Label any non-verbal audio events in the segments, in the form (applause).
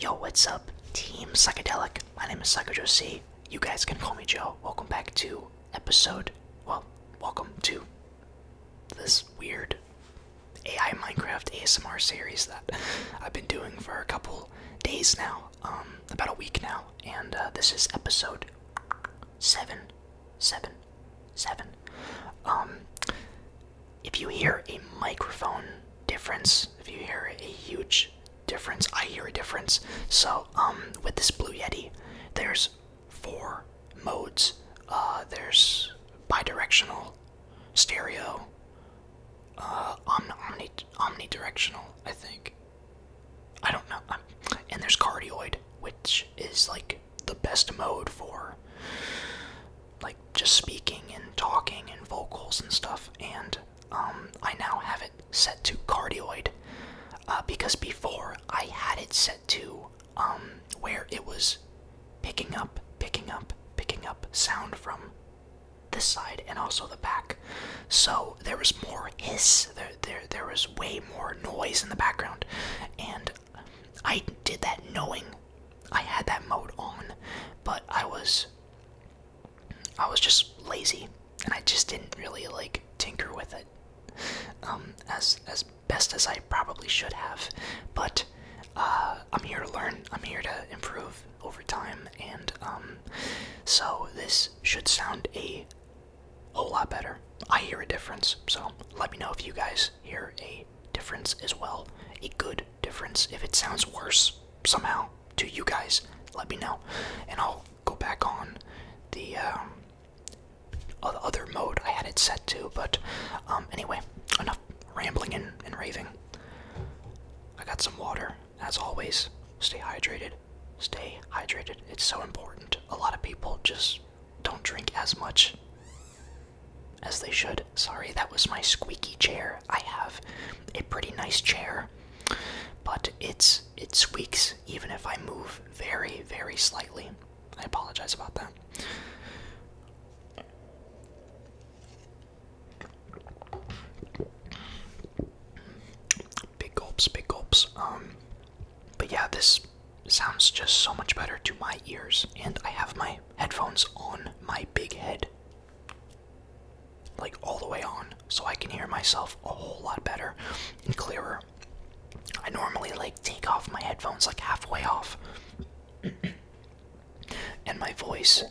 Yo, what's up, Team Psychedelic? My name is Psycho Joe C. You guys can call me Joe. Welcome back to episode. Well, welcome to this weird AI Minecraft ASMR series that I've been doing for a couple days now. Um, about a week now, and uh, this is episode seven, seven, seven. Um, if you hear a microphone difference, if you hear a huge difference, I hear a difference. So, um, with this Blue Yeti, there's four modes. Uh, there's bidirectional, stereo, uh, omnidirectional, I think. I don't know. and there's cardioid, which is like the best mode for like just speaking and talking and vocals and stuff. And um, I now have it set to cardioid uh, because before I had it set to um, where it was picking up, picking up, picking up sound from this side and also the back. So there was more hiss. There, there, there was way more noise in the background, and I did that knowing I had that mode on, but I was, I was just lazy, and I just didn't really like tinker with it, um, as as best as I probably should have. But uh, I'm here to learn. I'm here to improve, over time, and um, so this should sound a whole lot better. I hear a difference, so let me know if you guys hear a difference as well. A good difference. If it sounds worse somehow to you guys, let me know, and I'll go back on the um, other mode I had it set to. But um, anyway, enough rambling and raving. I got some water as always, stay hydrated. Stay hydrated. It's so important. A lot of people just don't drink as much as they should. Sorry, that was my squeaky chair. I have a pretty nice chair, but it's it squeaks even if I move very, very slightly. I apologize about that. Big gulps, big gulps. Um, but yeah, this sounds just so much better to my ears, and I have my headphones on my big head. Like all the way on, so I can hear myself a whole lot better and clearer. I normally like take off my headphones like halfway off, (clears throat) and my voice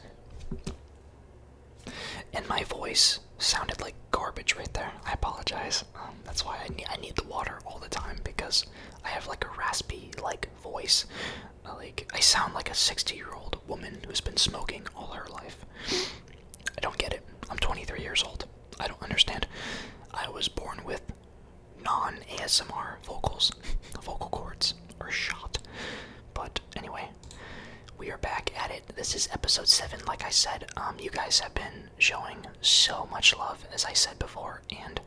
and my voice sounded like garbage right there. I apologize. Um, that's why I need, the water all the time because I have like a raspy like voice. Uh, like I sound like a 60 year old woman who's been smoking all her life. I don't get it. I'm 23 years old. I don't understand. I was born with non ASMR vocals, (laughs) vocal cords, are shot. But Anyway, we are back at it. This is episode seven. Like I said, um, you guys have been showing so much love, as I said before, and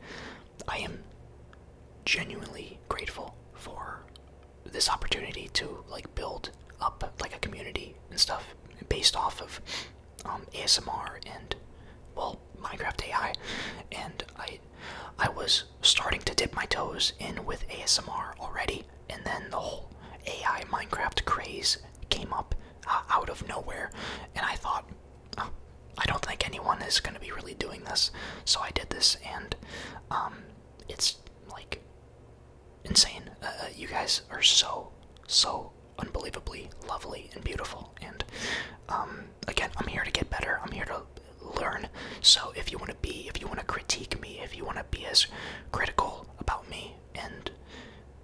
I am genuinely grateful for this opportunity to like build up like a community and stuff based off of um, ASMR and well Minecraft AI and I I was starting to dip my toes in with ASMR already and then the whole AI Minecraft craze came up uh, out of nowhere, and I thought, oh, I don't think anyone is going to be really doing this, so I did this, and um, it's like insane. Uh, uh, you guys are so, so unbelievably lovely and beautiful, and um, again, I'm here to get better. I'm here to learn. So if you want to be, if you want to critique me, if you want to be as critical about me and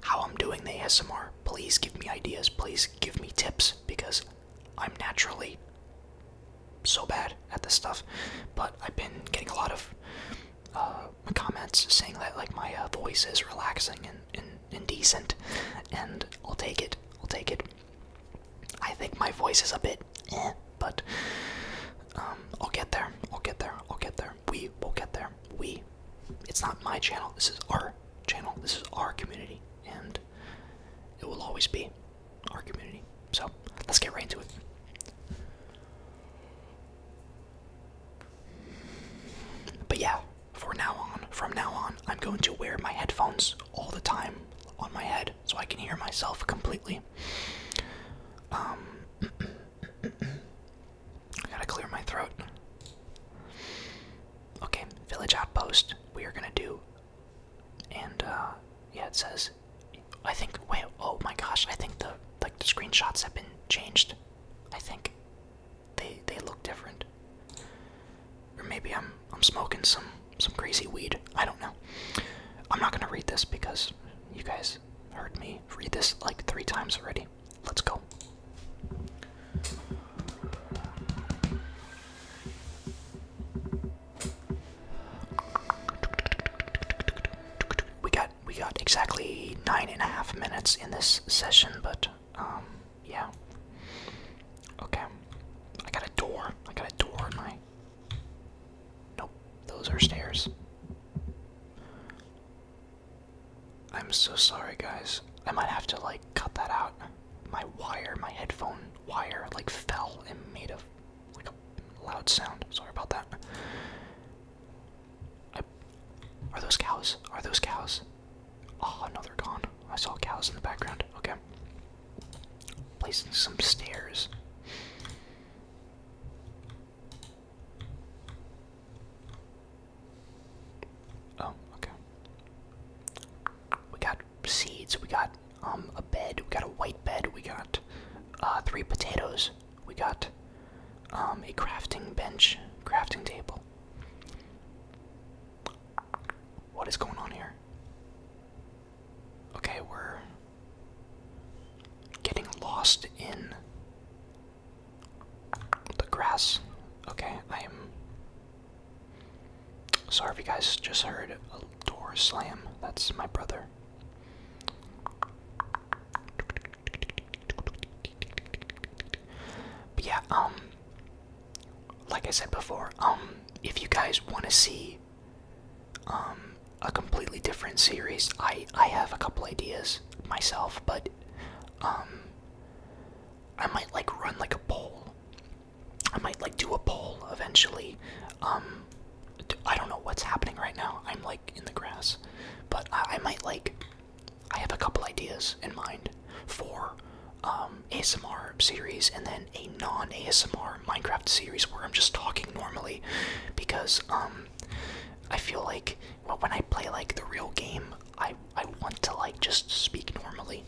how I'm doing the ASMR, please give me ideas, please give me tips because I'm naturally so bad at this stuff. But I've been getting a lot of uh, comments saying that like my uh, voice is relaxing and, and, decent, and I'll take it. I'll take it. I think my voice is a bit eh but um, I'll get there. I'll get there. I'll get there. We will get there. We. It's not my channel. This is our channel. This is our community, and it will always be our community. So let's get right into it. But yeah, for now on, from now on, I'm going to wear my headphones all the time on my head so I can hear myself completely. Um, I gotta clear my throat. Okay, village outpost. We are gonna do. And uh, yeah, it says. I think. Wait. Oh my gosh. I think the like the screenshots have been changed. I think they they look different. Or maybe I'm I'm smoking some some crazy weed. I don't know. I'm not gonna read this because you guys heard me read this like three times already. Let's go. We got we got exactly nine and a half minutes in this session, but um, yeah. Okay. I got a door. I got a door Nope, those are stairs. I'm so sorry, guys. I might have to like cut that out. My wire, my headphone wire, like fell and made a like a loud sound. Sorry about that. are those cows? Are those cows? Oh, no, they're gone. I saw cows in the background. Okay. Placing some stairs. Oh, okay. We got seeds, we got um a bed, we got a white bed, we got uh three potatoes, we got um a crafting bench, crafting table. What is going on here? Okay, we're getting lost in the grass. Okay, I am sorry if you guys just heard a door slam. That's my brother. But yeah, um, like I said before, um, if you guys want to see um, a completely different series. I I have a couple ideas myself, but um, I might like run like a poll. I might like do a poll eventually. Um, I don't know what's happening right now. I'm like in the grass, but I, I might like. I have a couple ideas in mind for um, ASMR series and then a non-ASMR Minecraft series where I'm just talking normally, because um, I feel like when I play like the real game, I I want to like just speak normally,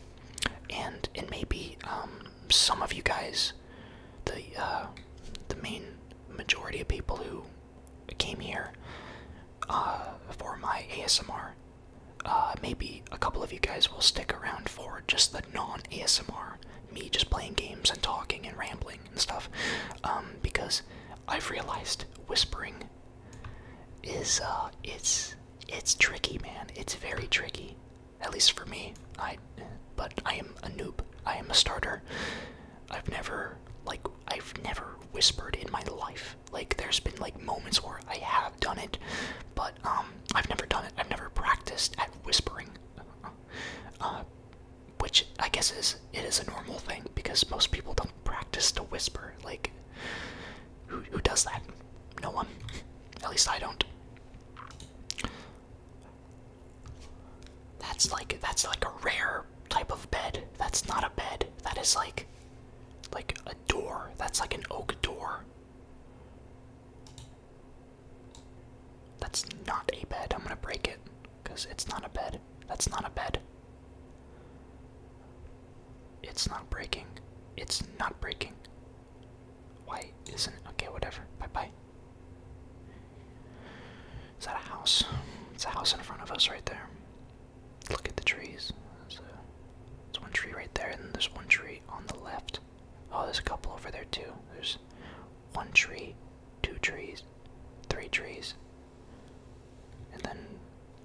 and and maybe um, some of you guys, the uh, the main majority of people who came here uh, for my ASMR, uh, maybe a couple of you guys will stick around for just the non ASMR me just playing games and talking and rambling and stuff um, because I've realized whispering is uh, it's tricky, man. It's very tricky, at least for me. I but I am a noob. I am a starter. I've never like I've never whispered in my life. Like there's been like moments where I have done it, but um, I've never done it. I've never practiced at whispering. Uh, which I guess is it is a normal thing because most people don't practice to whisper. Like, who who does that? No one. At least I don't. That's like that's like a rare type of bed. That's not a bed. That is like like a door. That's like an oak door. That's not a bed. I'm gonna break it. Because it's not a bed. That's not a bed. It's not breaking. It's not breaking. Why isn't it? Okay, whatever. Bye bye. Is that a house? It's a house in front of us right there. Look at the trees. There's, one tree right there, and there's one tree on the left. Oh, there's a couple over there too. There's one tree, two trees, three trees, and then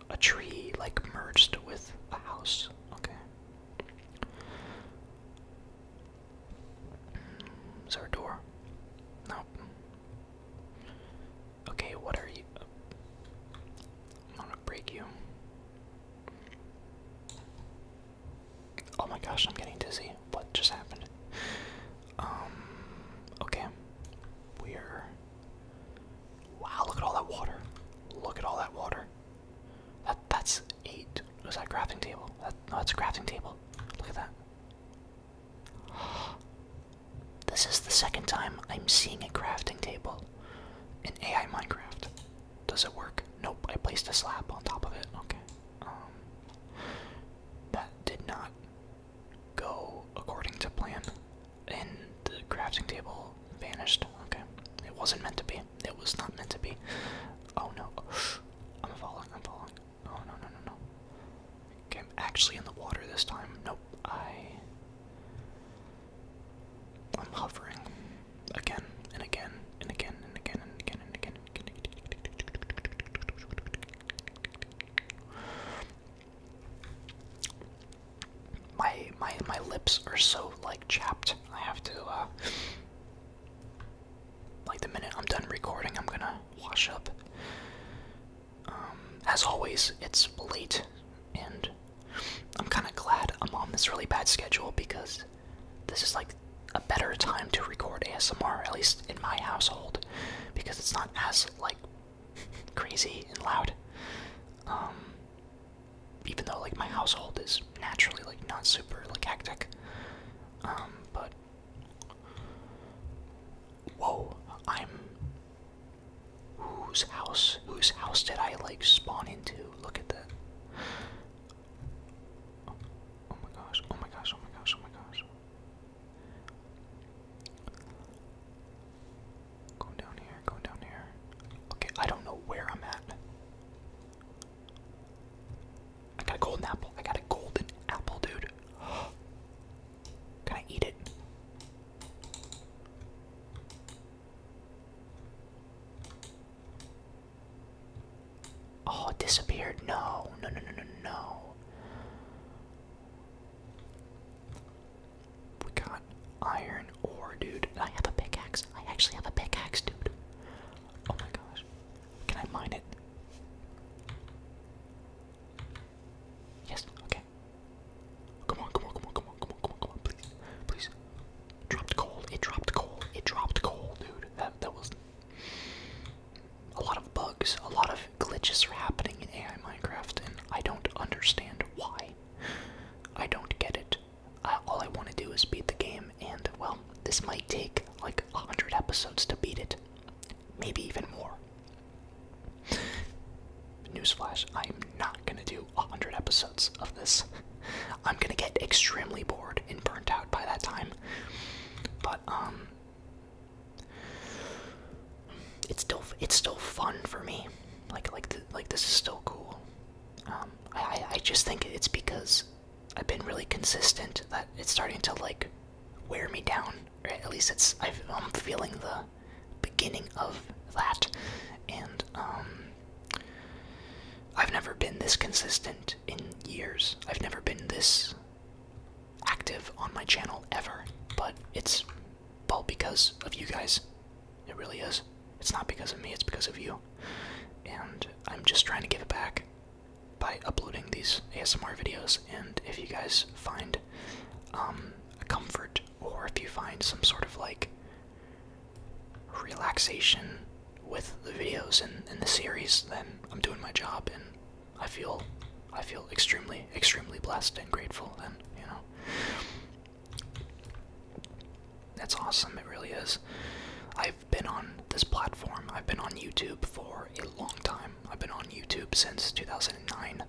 a tree like merged with a house. Okay. Mm, is there door? Nope. Okay, what I'm gonna break you. Oh my gosh, I'm getting dizzy. What just happened? Um, okay. We're. Wow, look at all that water. Look at all that water. That that's eight. Was that crafting table? no, that's a crafting table. Look at that. (gasps) This is the second time I'm seeing a crafting table in AI Minecraft. Does it work? Nope. I placed a slab on top of it. Okay. Um, that did not go according to plan, and the crafting table vanished. Okay, it wasn't meant to be. It was not meant to be. Oh no, I'm falling. I'm falling. Oh no no no no. Okay, I'm actually in the water this time. Nope, I. I'm hovering again and again and again and again and again and again. My my my lips are so like chapped. I have to uh like the minute I'm done recording, I'm gonna wash up. Um, as always, it's late, and I'm kind of glad I'm on this really bad schedule because this is like a better time to record ASMR, at least in my household, because it's not as like crazy and loud. Um, even though like my household is naturally like not super like hectic. Um, but whoa, I'm whose house? Whose house did I like spawn into? Look at that. Oh my gosh, oh my gosh, oh my gosh, oh my gosh. Go down here, go down here. Okay, I don't know where I'm at. I got a golden apple. I got a golden apple, dude. (gasps) Can I eat it? Oh, it disappeared. No, no, no, no, no, no. We got iron ore, dude. I have a pickaxe. I actually have a pickaxe, dude. Oh my gosh. Can I mine it? Yes, okay. Come on, come on, come on, come on, come on, come on, come on, please. Please. Dropped coal. It dropped coal. It dropped coal, dude. That that was a lot of bugs, a lot of glitches are happening in AI Minecraft, and I don't understand why. I don't get it. Uh, all I want to do is beat the game, and well, this might take like a 100 episodes to beat it. Maybe even more. Newsflash, I'm not gonna do a 100 episodes of this. I'm gonna get extremely bored and burnt out by that time. But, um, it's still it's still fun for me. Like like like this is still cool. Um, I I just think it's because I've been really consistent that it's starting to like wear me down. at least it's i am feeling the beginning of that, and um, I've never been this consistent in years. I've never been this active on my channel ever, but it's all because of you guys. It really is. It's not because of me, it's because of you. And I'm just trying to give it back by uploading these ASMR videos. And if you guys find um, comfort or if you find some sort of like relaxation with the videos and, and the series, then I'm doing my job and I feel I feel extremely, extremely blessed and grateful and you know that's awesome, it really is. I've been on this platform, I've been on YouTube for a long time. I've been on YouTube since 2009.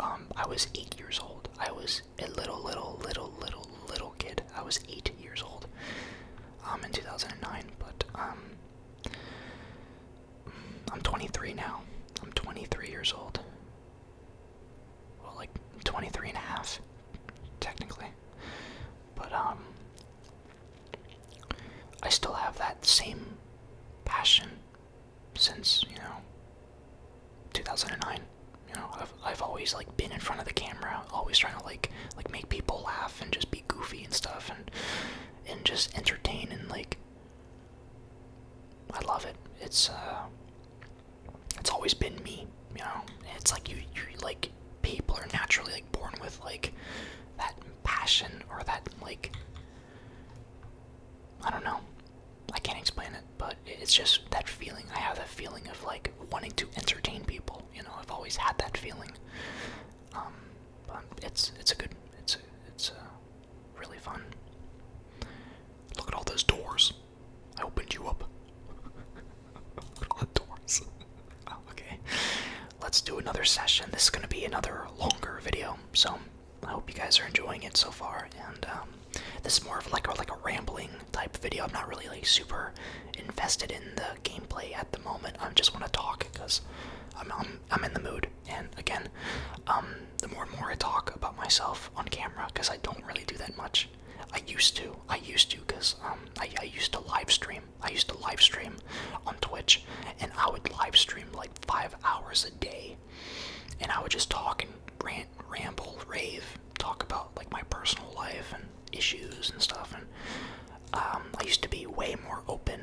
Um, I was eight years old. I was a little, little, little, little, little kid. I was eight years old um, in 2009, but um, I'm 23 now. I'm 23 years old. Well, like 23 and a half, technically. But, um, I still have that same passion since, you know, 2009. You know, I've, I've always, like, been in front of the camera, always trying to, like, like, make people laugh and just be goofy and stuff, and and just entertain and like I love it. It's uh it's always been me, you know. It's like you you like people are naturally like born with like that passion or that like I don't know. I can't explain it, but it's just that feeling. I have that feeling of like wanting to entertain people. You know, I've always had that feeling. Um, but um, it's it's a good it's a, it's a really fun. Look at all those doors. I opened you up. Look at all the doors. (laughs) Oh, okay, let's do another session. This is gonna be another longer video, so I hope you guys are enjoying it so far. And um, this is more of like a, like a rambling type video. I'm not really like super invested in the gameplay at the moment. I just want to talk because I'm, I'm in the mood. And again, um, the more and more I talk about myself on camera, because I don't really do that much. I used to. I used to because um, I, used to live stream. I used to live stream on Twitch, and I would live stream like five hours a day, and I would just talk and rant, ramble, rave, talk about like my personal life and issues and stuff. And um, I used to be way more open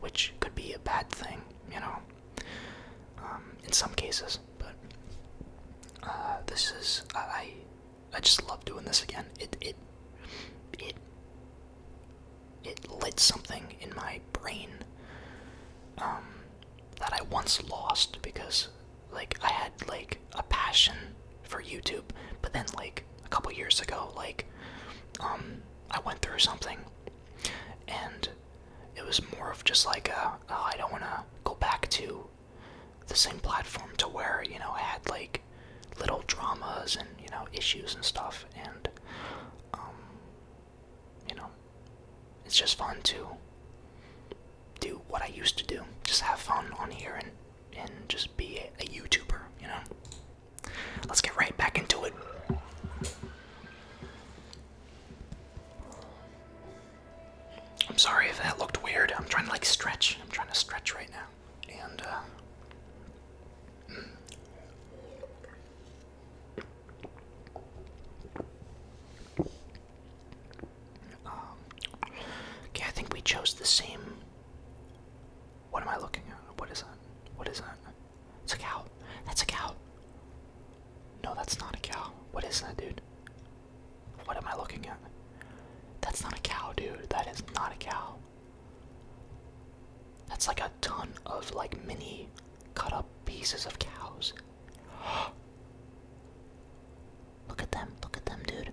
which could be a bad thing, you know, um, in some cases. But uh, this is I I just love doing this again. It it it it lit something in my brain um, that I once lost because like I had like a passion for YouTube, but then like a couple years ago. Like, um, I went through something, and it was more of just like, a, oh, I don't want to go back to the same platform to where you know I had like little dramas and you know issues and stuff, and um, you know, it's just fun to do what I used to do, just have fun on here and and just be a YouTuber, you know. Let's get right back into it. I'm sorry if that looked weird. I'm trying to like stretch. I'm trying to stretch right now. And, uh. Mm. Um, okay, I think we chose the same what am I looking at? What is that? What is that? It's a cow. That's a cow. No, that's not a cow. What is that, dude? What am I looking at? That's not a cow, dude. That is not a cow. That's like a ton of like mini cut up pieces of cows. (gasps) Look at them. Look at them, dude.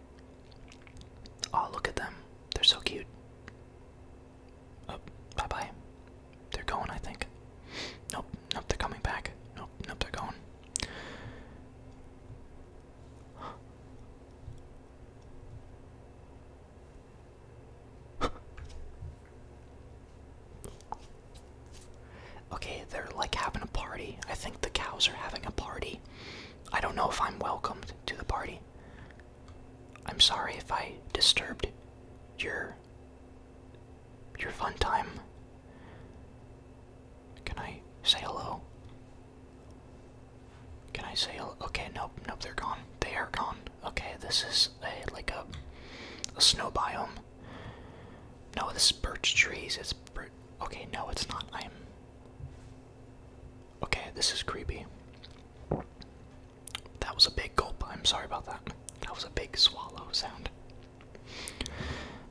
Oh, look at them. They're so cute. Oh, bye bye. They're going, I think. Nope, nope, they're coming back. Nope, nope, they're going. (gasps) okay, they're like having a party. I think the cows are having a party. I don't know if I'm welcomed to the party. I'm sorry if I disturbed your your fun time. Can I say hello? Can I say Okay, nope, nope, they're gone. They are gone. Okay, this is a like a a snow biome. No, this is birch trees. It's bir okay. No, it's not. I'm okay. This is creepy. That was a big gulp. I'm sorry about that. That was a big swallow sound.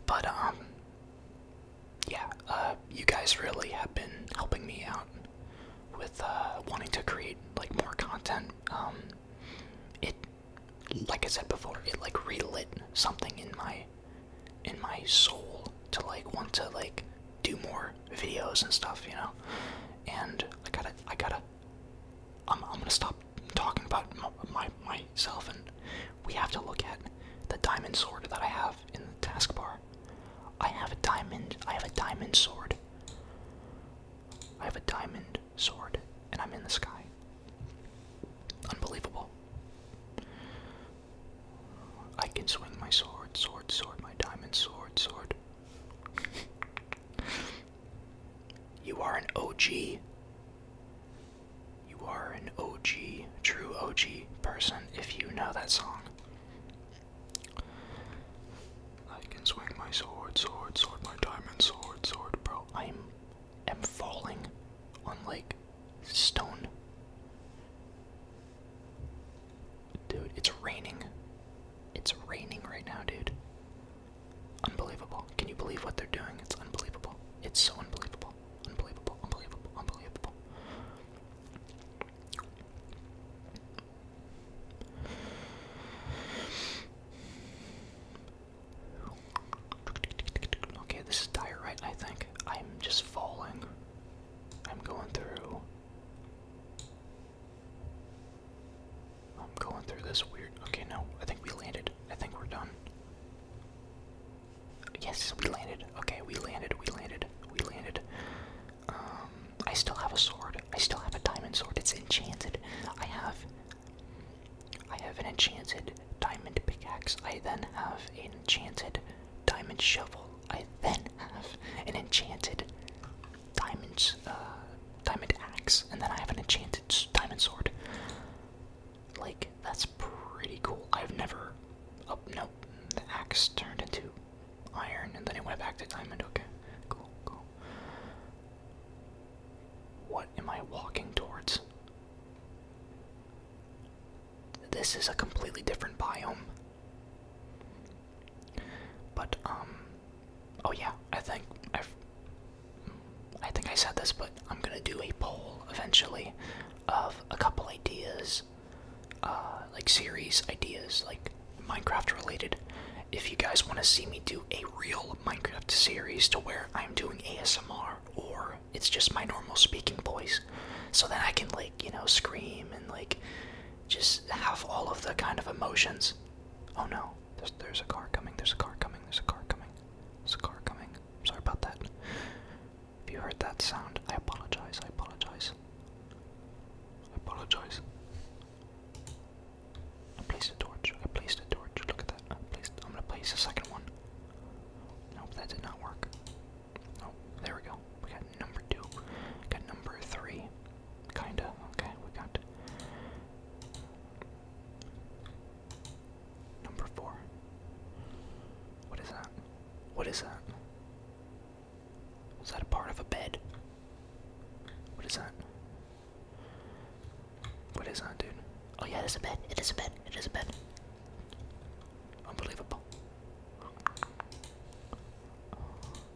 But, um, yeah, uh, you guys really have been helping me out with, uh, wanting to create, like, more content. Um, it, like I said before, it, like, relit something in my, in my soul to like want to like do more videos and stuff, you know. And I gotta, I gotta. I'm, I'm gonna stop talking about my, myself, and we have to look at the diamond sword that I have in the taskbar. I have a diamond. I have a diamond sword. I have a diamond sword, and I'm in the sky. Unbelievable. I can swing my sword, sword, sword, my diamond sword, sword. you are an OG. You are an OG, true OG person if you know that song. I can swing my sword, sword, sword, my diamond sword, sword, bro. I'm am falling on like stone. Dude, it's raining. It's raining right now, dude. Unbelievable. Can you believe what they're doing? It's unbelievable. It's so unbelievable. Unbelievable, unbelievable, unbelievable. Okay, this is dire, right? I think I'm just falling. I'm going through. I'm going through this weird. Okay, no, I think we landed. I think we're done. Yes, we landed. Okay, we landed. We landed. We landed. Um, I still have a sword. I still have a diamond sword. It's enchanted. I have. I have an enchanted diamond pickaxe. I then have an enchanted diamond shovel. I then have an enchanted diamond, uh, diamond axe, and then I have an enchanted diamond sword. Like, that's pretty cool. I've never. Oh, no. The axe turned into iron, and then it went back to diamond. Okay, cool, cool. What am I walking towards? This is a completely different biome. But um, oh yeah, I think i I think I said this, but I'm gonna do a poll eventually of a couple ideas, uh, like series ideas, like Minecraft related. If you guys want to see me do a real Minecraft series to where I'm doing ASMR or it's just my normal speaking voice, so that I can like you know scream and like just have all of the kind of emotions. Oh no, there's, a car coming, there's a car coming, there's a car coming, there's a car coming. Sorry about that. If you heard that sound, I apologize, I apologize. I apologize. I placed a torch, I placed a torch, look at that. I am gonna place a second one. Nope, that did not work. Oh, there we go. We got number two. We got number three. Kinda. Okay, we got number four. What is that? What is that? Was that a part of a bed? What is that? What is that, dude? Oh yeah, it is a bed. It is a bed. It is a bed. Unbelievable.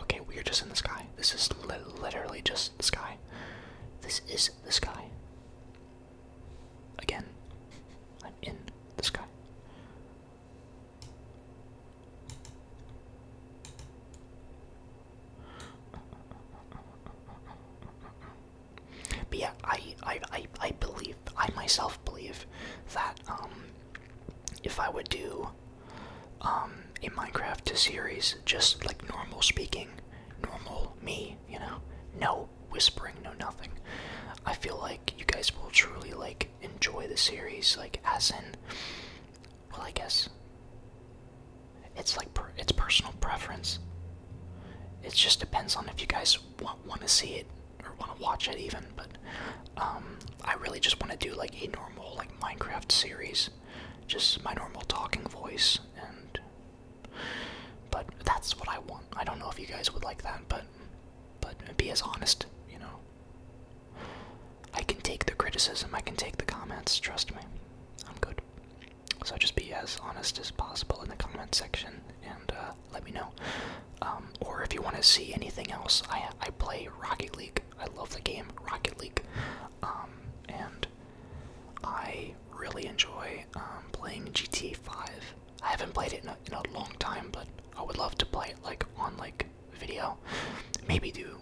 Okay, we are just in the sky. This is literally just the sky. This is the sky. Again, I'm in the sky. But yeah, I, I, I, I believe, I myself believe that um, if I would do um, a Minecraft series, just like normal speaking, normal me, you know, no whispering, no nothing, I feel like you guys will truly like enjoy the series, like as in, well, I guess it's like it's personal preference. It just depends on if you guys want want to see it or want to watch it even. But um, I really just want to do like a normal like Minecraft series, just my normal talking voice and. But that's what I want. I don't know if you guys would like that, but but be as honest, you know. I can take the criticism, I can take the comments, trust me. I'm good. So just be as honest as possible in the comment section and uh, let me know. Um, or if you want to see anything else, I, I play Rocket League. I love the game Rocket League. Um, and I really enjoy um, playing GTA 5. I haven't played it in a long time, but I would love to play it like on like video. Maybe do.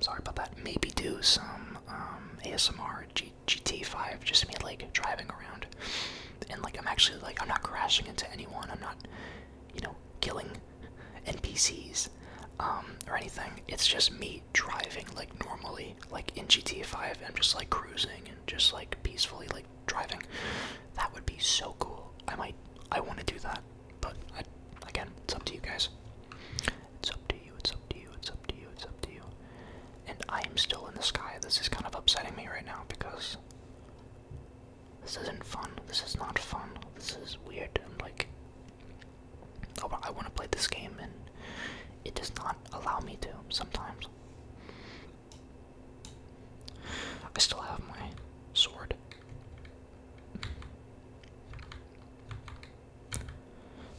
Sorry about that. Maybe do some um, ASMR G GT5, just me like driving around, and like I'm actually like I'm not crashing into anyone. I'm not, you know, killing NPCs um, or anything. It's just me driving like normally, like in GT5. I'm just like cruising and just like peacefully like driving. That would be so cool. I might I want to do that, but again, it's up to you guys. It's up to you. It's up to you. It's up to you. It's up to you. And I am still in the sky. This is kind of upsetting me right now because this isn't fun. This is not fun. This is weird. I'm like, oh, I want to play this game, and it does not allow me to sometimes. I still have my sword.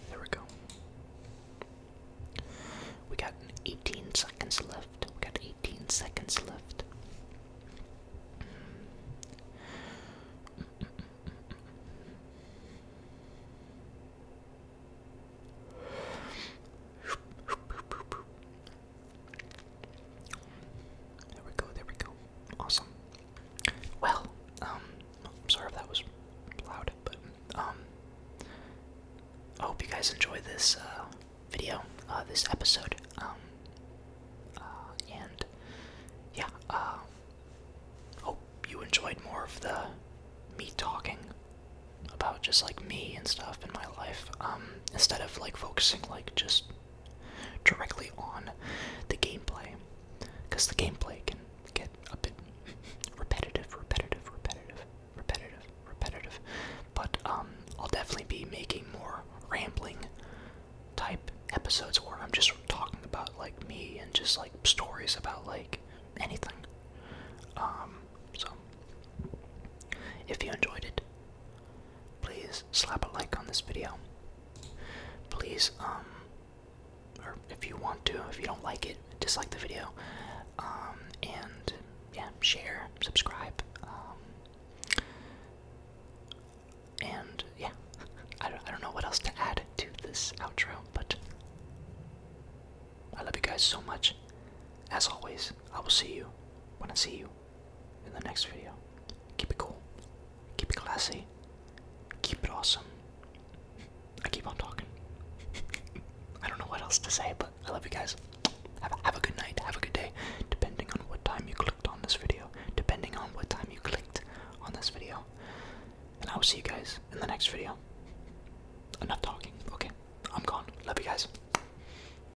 There we go. We got 18 seconds left. We got 18 seconds left. There we go, there we go. Awesome. Well, um, sorry if that was loud, but, um, I hope you guys enjoy this, uh, video, uh, this episode, um, uh, and, yeah, uh, hope you enjoyed more of the me talking about just, like, me and stuff in my life, um, instead of like focusing like just directly on the gameplay because the gameplay can get a bit repetitive repetitive repetitive repetitive repetitive but um i'll definitely be making more rambling type episodes where i'm just talking about like me and just like stories about like anything um so if you enjoyed it please slap a like on this video. Please, um, or if you want to, if you don't like it, dislike the video. Um, and yeah, share, subscribe. Um, and yeah, (laughs) I don't, I don't know what else to add to this outro, but I love you guys so much. As always, I will see you when I see you in the next video. Keep it cool. Keep it classy. Keep it awesome. I keep on talking. (laughs) I don't know what else to say, but I love you guys. Have a, good night. Have a good day. Depending on what time you clicked on this video. Depending on what time you clicked on this video. And I will see you guys in the next video. Enough talking. Okay. I'm gone. Love you guys.